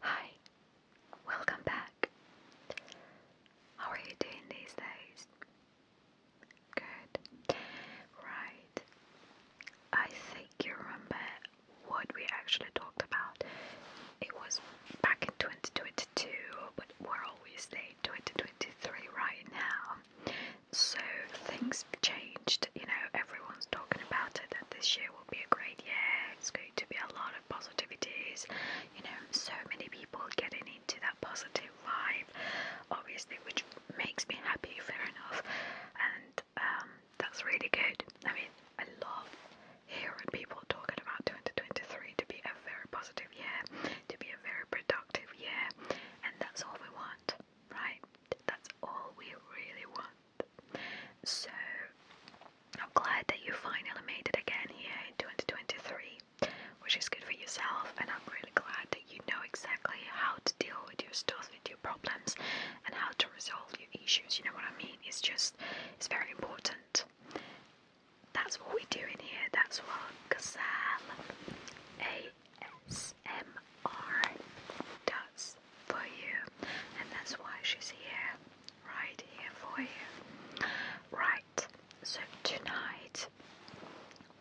Hi, welcome back. How are you doing these days? Good. Right. I think you remember what we actually talked about. It was back in 2022, but we're obviously in 2023 right now. So things changed, you know, everyone's talking about it that this year will be a great year. It's going to be a lot of positives, You know, so many people getting into that positive vibe, obviously, which makes me happy, fair enough. And um, that's really good. I mean, I love hearing people talking about 2023 to be a very positive year, to be a very productive year, and that's all we want, right? That's all we really want. So I'm glad that you finally made it again here in 2023, which is good for yourself. And I'm really glad that you know exactly how to deal with your stuff, with your problems, and how to resolve your issues. You know what I mean? It's just, it's very important. That's what we do in here. That's what Gazelle ASMR does for you, and that's why she's here, right here for you. Right, so tonight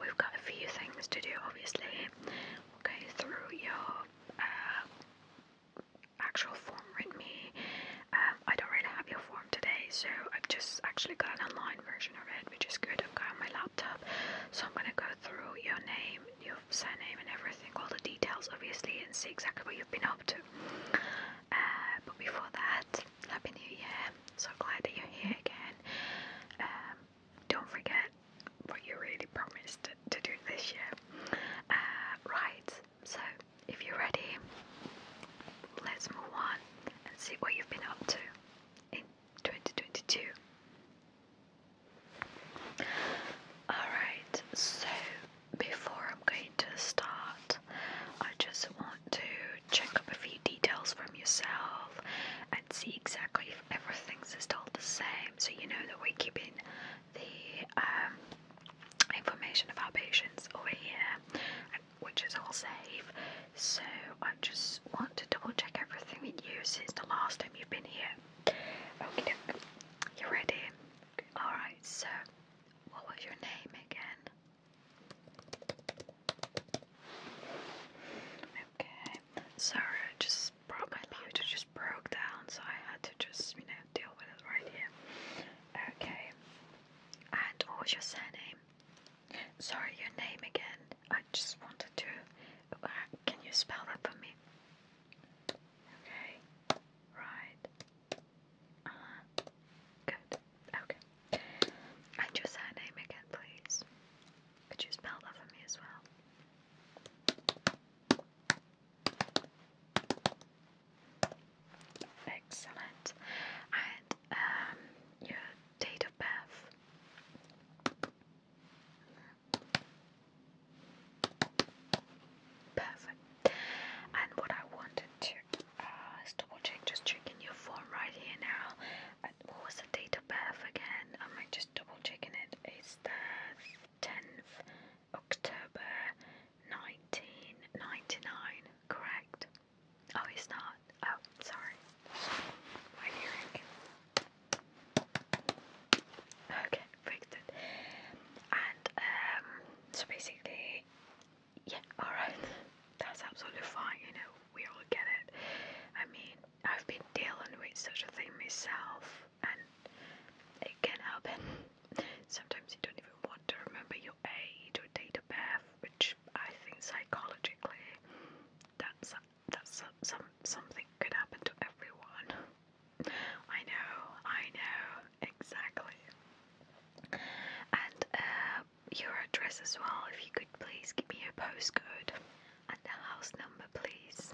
we've got a few things to do, obviously. go through your uh, actual form with me. Um, I don't really have your form today, so I've just actually got an online version of it, which is good. I've got on my laptop, so I'm gonna go through your name, your surname and everything, all the details obviously, and see exactly what you've been up to. Uh, but before that, Happy New Year! So glad that you're here again. Um, don't forget what you really promised to, do this year. Uh, right, so if you're ready, let's move on and see what you've been up to in 2022. Alright, so before I'm going to start, I just want to check up a few details from yourself and see exactly if everything's still the same so you know that we're keeping the um, information of our patients over here, which is all safe. So I just want to double check everything with you since the last time you've been here. Okay, you ready? Alright, so what was your name again? Okay, sorry, I just brought my computer just broke down, so I had to just, you know, deal with it right here. Okay, and what was your surname? Sorry, your name again. I just wanted to. Uh, can you spell that for me? Okay, right. Uh Good. Okay. And your surname again, please. Could you spell that for me as well? Excellent. And um, your date of birth. Perfect. And what I wanted to uh, double check, just checking your form right here now. And what was the date of birth again? I might just double checking it? It's the 10th October 1999, correct? Oh, it's not. Oh, sorry. My hearing. Okay, very good. And um, so basically, yeah, alright, that's absolutely fine, you know, we all get it. I mean, I've been dealing with such a thing myself, and it can happen. Sometimes you don't even want to remember your age or date of birth, which I think psychologically, that's that's some something could happen to everyone. I know, I know, exactly. And uh, your address as well, if you could please give me your postcode and the house number, please.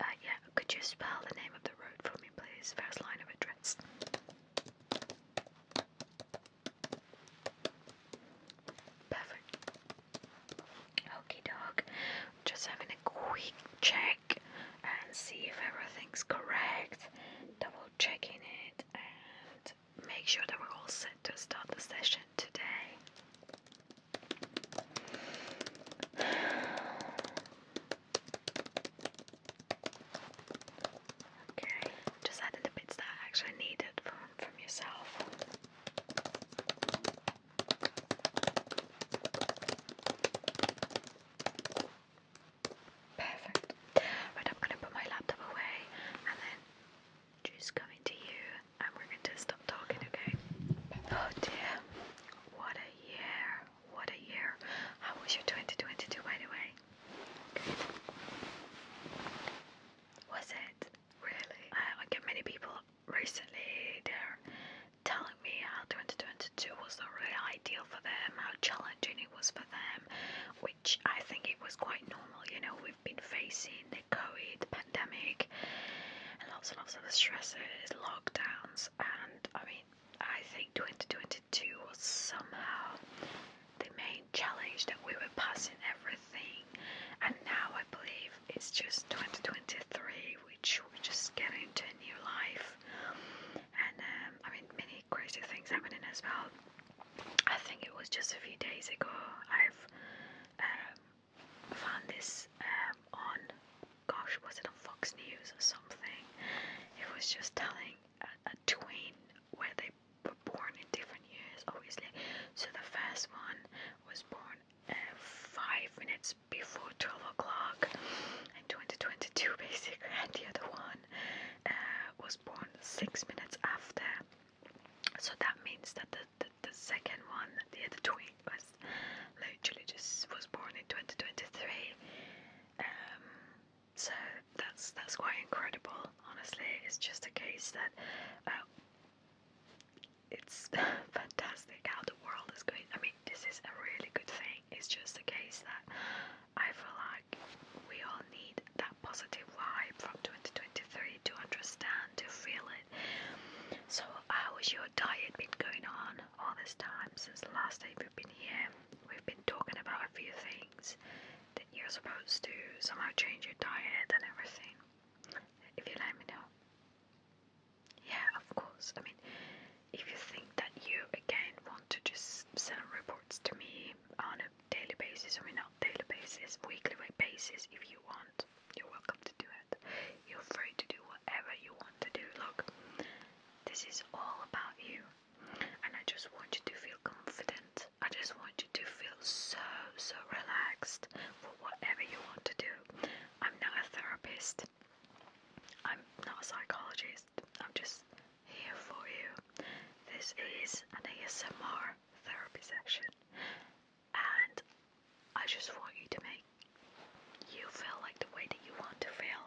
Uh, yeah, could you spell the name of the road for me, please? First line of address. Perfect. Okay, dog. Just having a quick check and see if everything's correct. Double checking it and make sure that we're all set to start the session today. Okay, just added the bits that I actually needed from from yourself. Perfect. Right, I'm going to put my laptop away and then just come into you and we're going to stop talking, okay? Oh dear, what a year, what a year. How was your 2022 by the way? Good. Was it? Really? I get many people recently they're telling me how 2022 was not really ideal for them, how challenging it was for them, which I think it was quite normal. You know, we've been facing the COVID pandemic and lots and lots of stresses, lockdowns, and I mean, I think 2022 was somehow the main challenge that we were passing everything, and now I believe it's just 2023, which we're just getting into a new life, and um, I mean, many crazy things happening as well. I think it was just a few days ago I've um, found this um, on, gosh, was it on Fox News or something? It was just telling a twin where they were born in different years, obviously. So the first one was born five minutes before 12 o'clock in 2022, basic, and the other one uh, was born six minutes after. So that means that the, the, the second one, the other twin, was literally just was born in 2023. Um, so that's that's quite incredible. Honestly, it's just a case that uh, it's fantastic how the world is going. I mean, this is a really good thing. It's just a case that I feel like we all need that positive vibe from 2023 to understand, to feel it. So, how has your diet been going on all this time since the last time we've been here? We've been talking about a few things that you're supposed to somehow change your diet and everything. If you let me know. Yeah, of course. I mean, if you think that you again want to just send reports to me on a daily basis, I mean, not daily basis, weekly basis, if you want, you're welcome to do it. You're free to do whatever you want to do. Look, this is all about you, and I just want you to feel confident. I just want you to feel so, so relaxed for whatever you want to do. I'm not a therapist. I'm not a psychologist. I'm just here for you. This is an ASMR therapy session, And I just want you to make you feel like the way that you want to feel.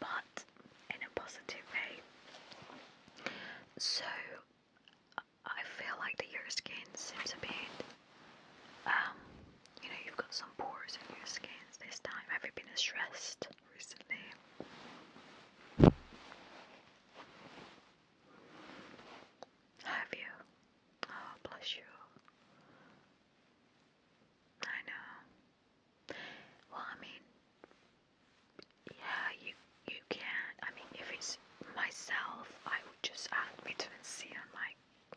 But in a positive way. So I feel like that your skin seems a bit, um, you know, you've got some pores in your skin this time. Have you been stressed recently? Have you? Oh, bless you. I know. Well, I mean, yeah, you you can, I mean, if it's myself, I would just add vitamin C on my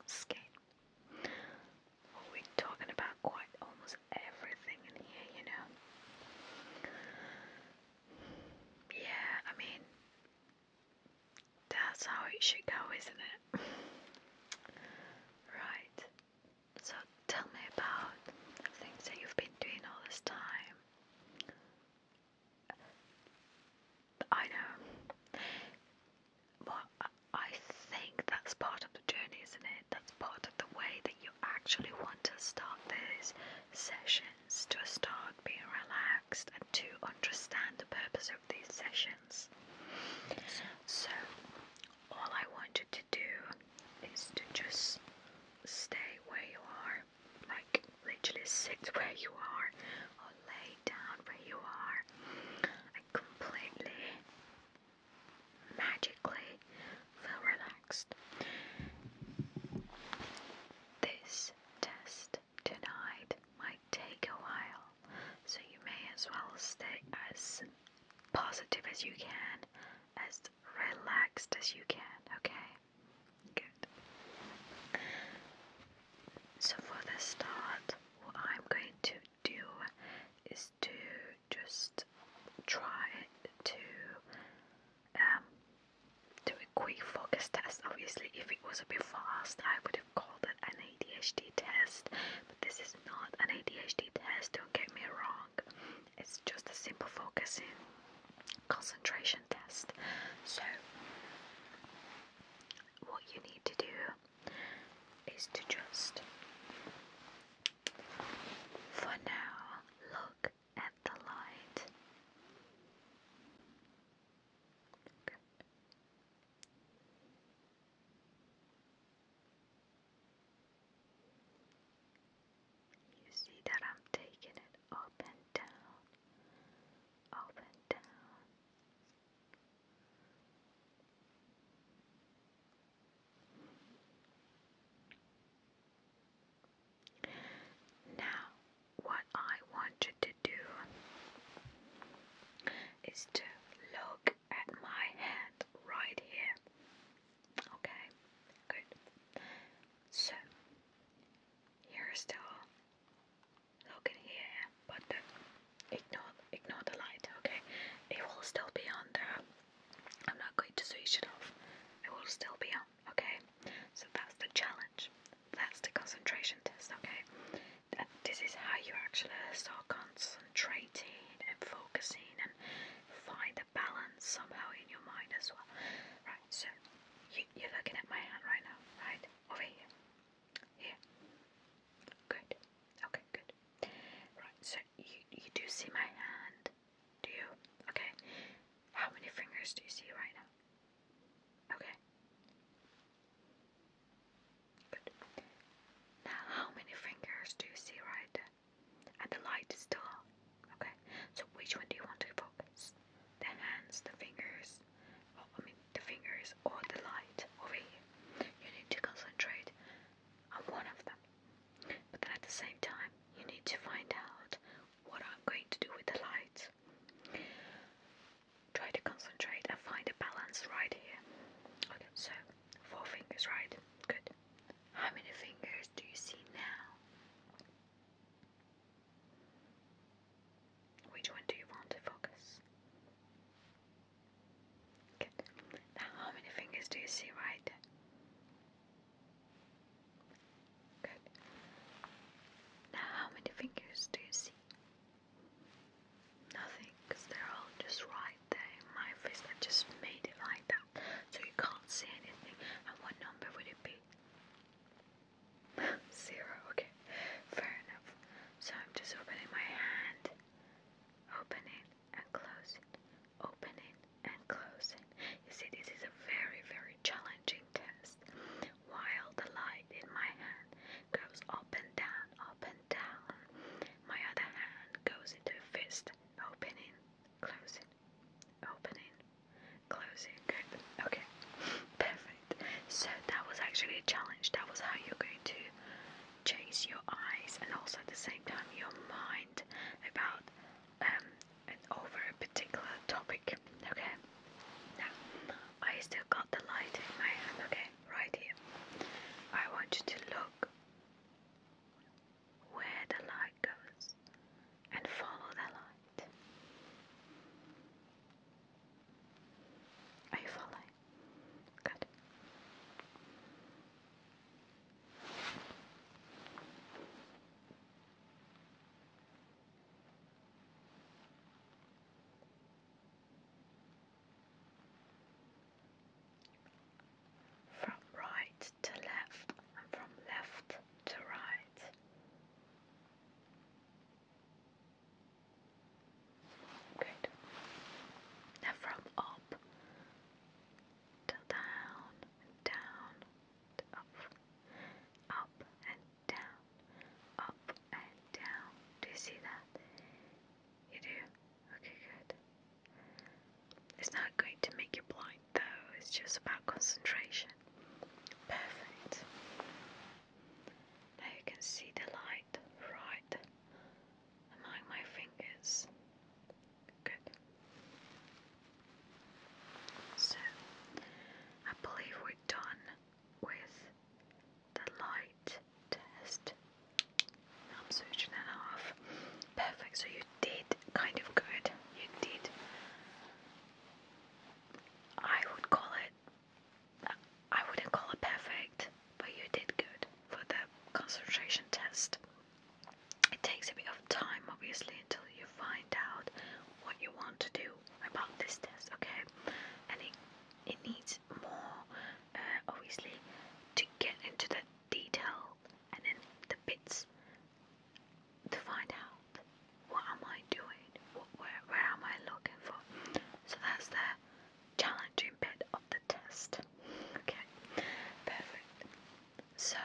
skin. we're talking about quite almost everything in here, you know. Yeah, I mean, that's how it should go, isn't it? right. So tell me about things that you've been doing all this time. I know. Well, I think that's part of the journey, isn't it? That's part of the way that you actually want to start these sessions, to start being relaxed and to understand the purpose of these sessions. So, all I want you to do is to just stay where you are like literally sit where you are or lay down where you are and completely magically feel relaxed. This test tonight might take a while, so you may as well stay as positive as you can, as relaxed as you can, okay? Good. So for the start, what I'm going to do is to just try to um, do a quick focus test. Obviously, if it was a bit fast, I would have called it an ADHD test, but this is not an ADHD test, don't get me wrong. It's just a simple focusing concentration test. So, what you need to do is to just for now look at the light. You see that I'm taking it up and down, up and down. Now, what I want you to do is to look at my hand right here. Okay, good. So, you're still. looking here, but ignore ignore the light. Okay, it will still be on there. I'm not going to switch it off. It will still be on. Okay, so that's the challenge. That's the concentration test. Okay, this is how you actually start concentrating and focusing and find a balance somehow in your mind as well. Right, so you, you're looking at my hand right now, right? Over here. Here. Good. Okay, good. Right, so you, you do see my hand, do you? Okay. How many fingers do you see right now? Okay. Good. Now, how many fingers do you see right there? And the light is still on. Okay, so which one do you want to focus? The hands, the fingers, well, I mean the fingers or the light over here. You need to concentrate on one of them. But then at the same time, you need to find out what I'm going to do with the light. Try to concentrate and find a balance right here. Okay, so four fingers, right? Good. How many fingers do you see now? Which one do you want to focus? Good. Now, how many fingers do you see right? Good. Now, how many fingers do you see? Nothing, because they're all just right there in my face. I just made it like that, so you can't see anything. And what number would it be? Zero, okay. Fair enough. So I'm just opening my hand. Opening and closing. Opening and closing. You see, this is a very, very challenging test. While the light in my hand goes up and down, up and down, my other hand goes into a fist. Opening, closing, Opening, closing, Okay, perfect. So that was actually a challenge. That was how you're going to chase your eyes and also at the same time your mind about um, and over a particular topic. Okay. Now, I still got the light in my hand. Okay, right here. I want you to look where the light goes and follow the light. Are you following? Good. From right to left and from left to right. Good. Now from up to down, down, to up, up and down, up and down. Do you see that? You do? Okay, good. It's not going to make you blind, though, it's just about concentration. Perfect. Now you can see the light right among my fingers. Good. So, I believe we're done with the light test. I'm switching it off. Perfect. So you did kind of good. You did. I would call it. I wouldn't call it perfect, but you did good for the concentration test. It takes a bit of time, obviously, until you find out what you want to do about this test, okay? And it it needs more, uh, obviously, to get into the detail and then the bits to find out what am I doing, what, where, where am I looking for. So that's the challenging bit of the test. Okay, perfect. So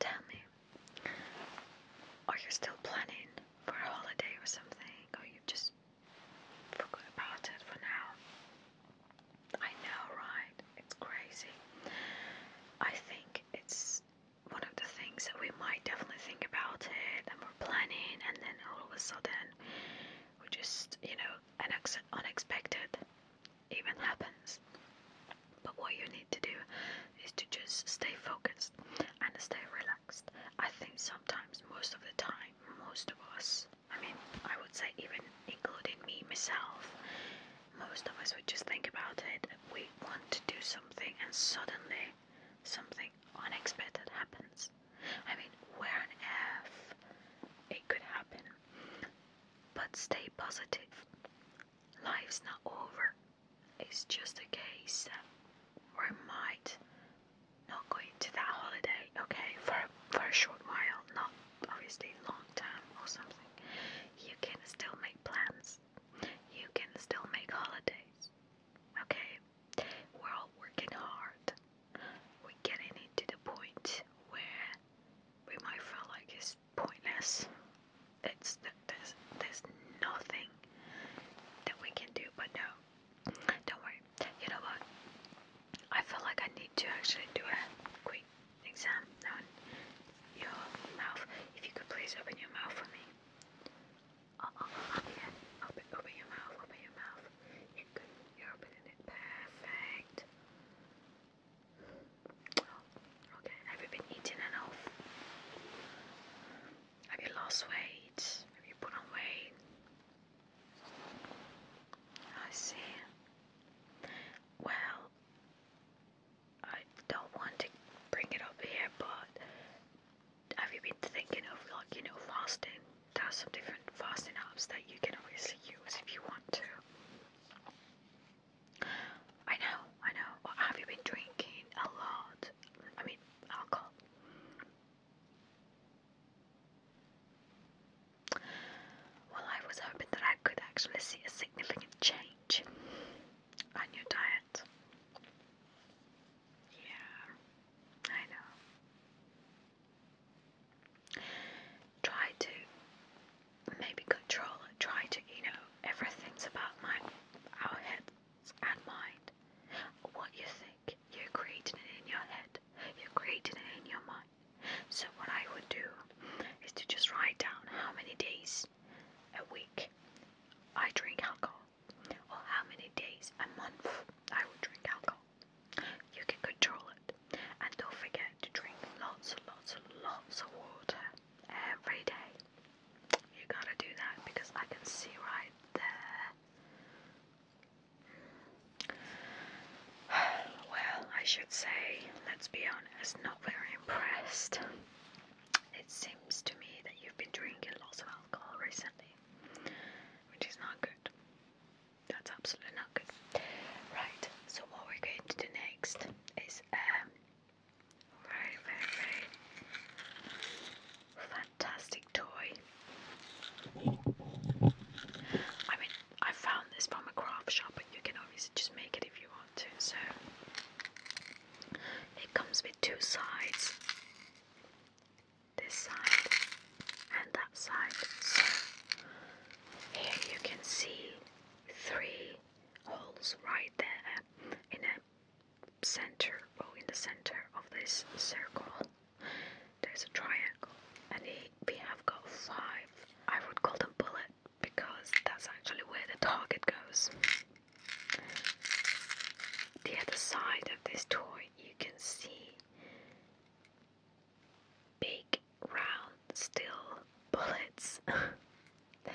tell me, are you still planning for a holiday or something, or you just forgot about it for now? I know, right? It's crazy. I think it's one of the things that we might definitely think about it and we're planning, and then all of a sudden, we just, you know, an unexpected event happens. But what you need to do is to just stay focused and stay relaxed. I think sometimes, most of the time, most of us, I mean, I would say even including me, myself, most of us would just think about it. We want to do something, and suddenly something unexpected happens. I mean, where on earth it could happen? But stay positive. Life's not over. It's just a case that we might not go into that holiday, okay, for, for a short while, not obviously long term or something, you can still make plans. You can still make holidays. Okay? We're all working hard. We're getting it the point where we might feel like it's pointless. It's there's there's nothing that we can do. But no, don't worry. You know what? I feel like I need to actually do a quick exam now your mouth. If you could please open your mouth for me. Oh, yeah. Open, open your mouth, open your mouth. You're good. You're opening it. Perfect. Oh, okay. Have you been eating enough? Have you lost weight? Have you put on weight? I see. Well, I don't want to bring it up here, but have you been thinking of like you know fasting? There's some different fasting apps that you can obviously use if you want to. I know, I know. have you been drinking a lot? I mean, alcohol. Well, I was hoping that I could actually see a significant change on your diet. Yeah, I know. Try to maybe control Try to, you know, everything's about my our heads and mind. What you think, you're creating it in your head. You're creating it in your mind. So what I would do is to just write down how many days a week I drink alcohol or how many days a month I would drink alcohol. You can control it. And don't forget to drink lots and lots and lots of water every day. You gotta do that because I can see right there. Well, I should say, let's be honest, not very impressed. It seems to me that you've been drinking lots of alcohol recently, which is not good. That's absolutely not good. Right, so what we're going to do next is a um, very, very, very fantastic toy. I mean, I found this from a craft shop, but you can obviously just make it if you so it comes with two sides this side and that side. So here you can see three holes right there in a center or in the center of this circle. There's a triangle, and we have got five. I would call them bullet because that's actually where the target goes. The other side of this toy you can see big round still bullets and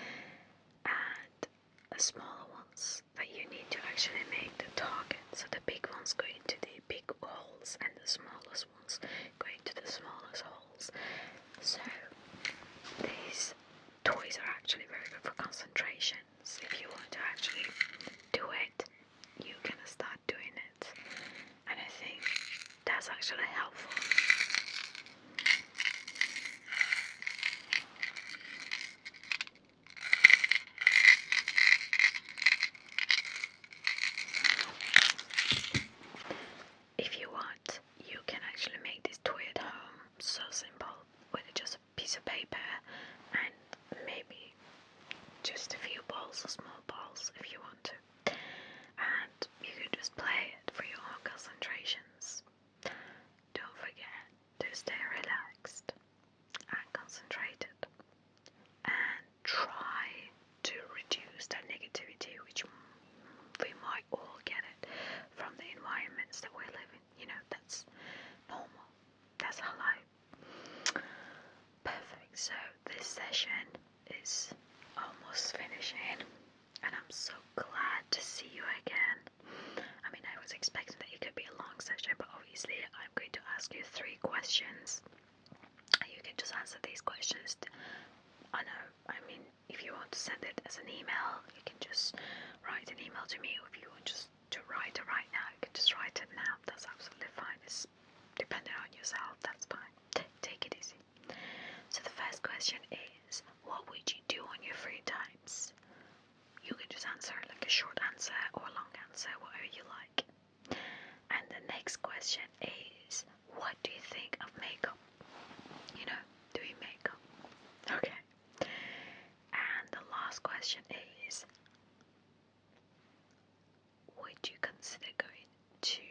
the smaller ones that you need to actually make the target. So the big ones go into the big holes and the smaller going to the smallest holes. So these toys are actually very good for concentrations. If you want to actually do it, you can start doing it. And I think that's actually helpful. If you want, you can actually make this toy at home, so simple, with just a piece of paper and maybe just a few balls or small balls if you want to. And you can just play it for your own concentrations. Don't forget to stay relaxed and concentrated. And try to reduce that negativity, which we might all get it from the environments that we live in. You know, that's normal. That's how life. Perfect. So this session is almost finishing, and I'm so glad to see you again. I mean, I was expecting that it could be a long session, but obviously, I'm going to ask you three questions you can just answer these questions. I know, I mean, if you want to send it as an email, you can just write an email to me, or if you want just to write it right now, you can just write it now. That's absolutely fine. It's dependent on yourself, that's fine. T take it easy. So, the first question is What would you do on your free times? You can just answer like a short answer or a long answer, whatever you like. And the next question is what do you think of makeup? You know, doing makeup. Okay. And the last question is would you consider going to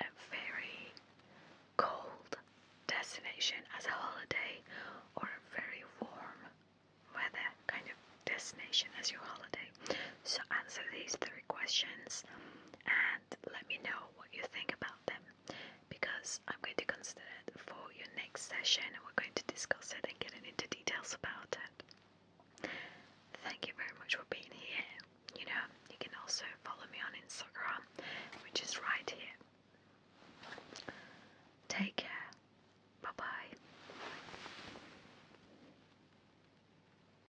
a very cold destination as a holiday or a very warm weather kind of destination as your holiday? So answer these three questions and let me know what you think about them because I'm going to consider it for your next session and we're going to discuss it and get into details about it. Thank you very much for being here. You know, you can also follow me on Instagram, which is right here. Take care. Bye bye.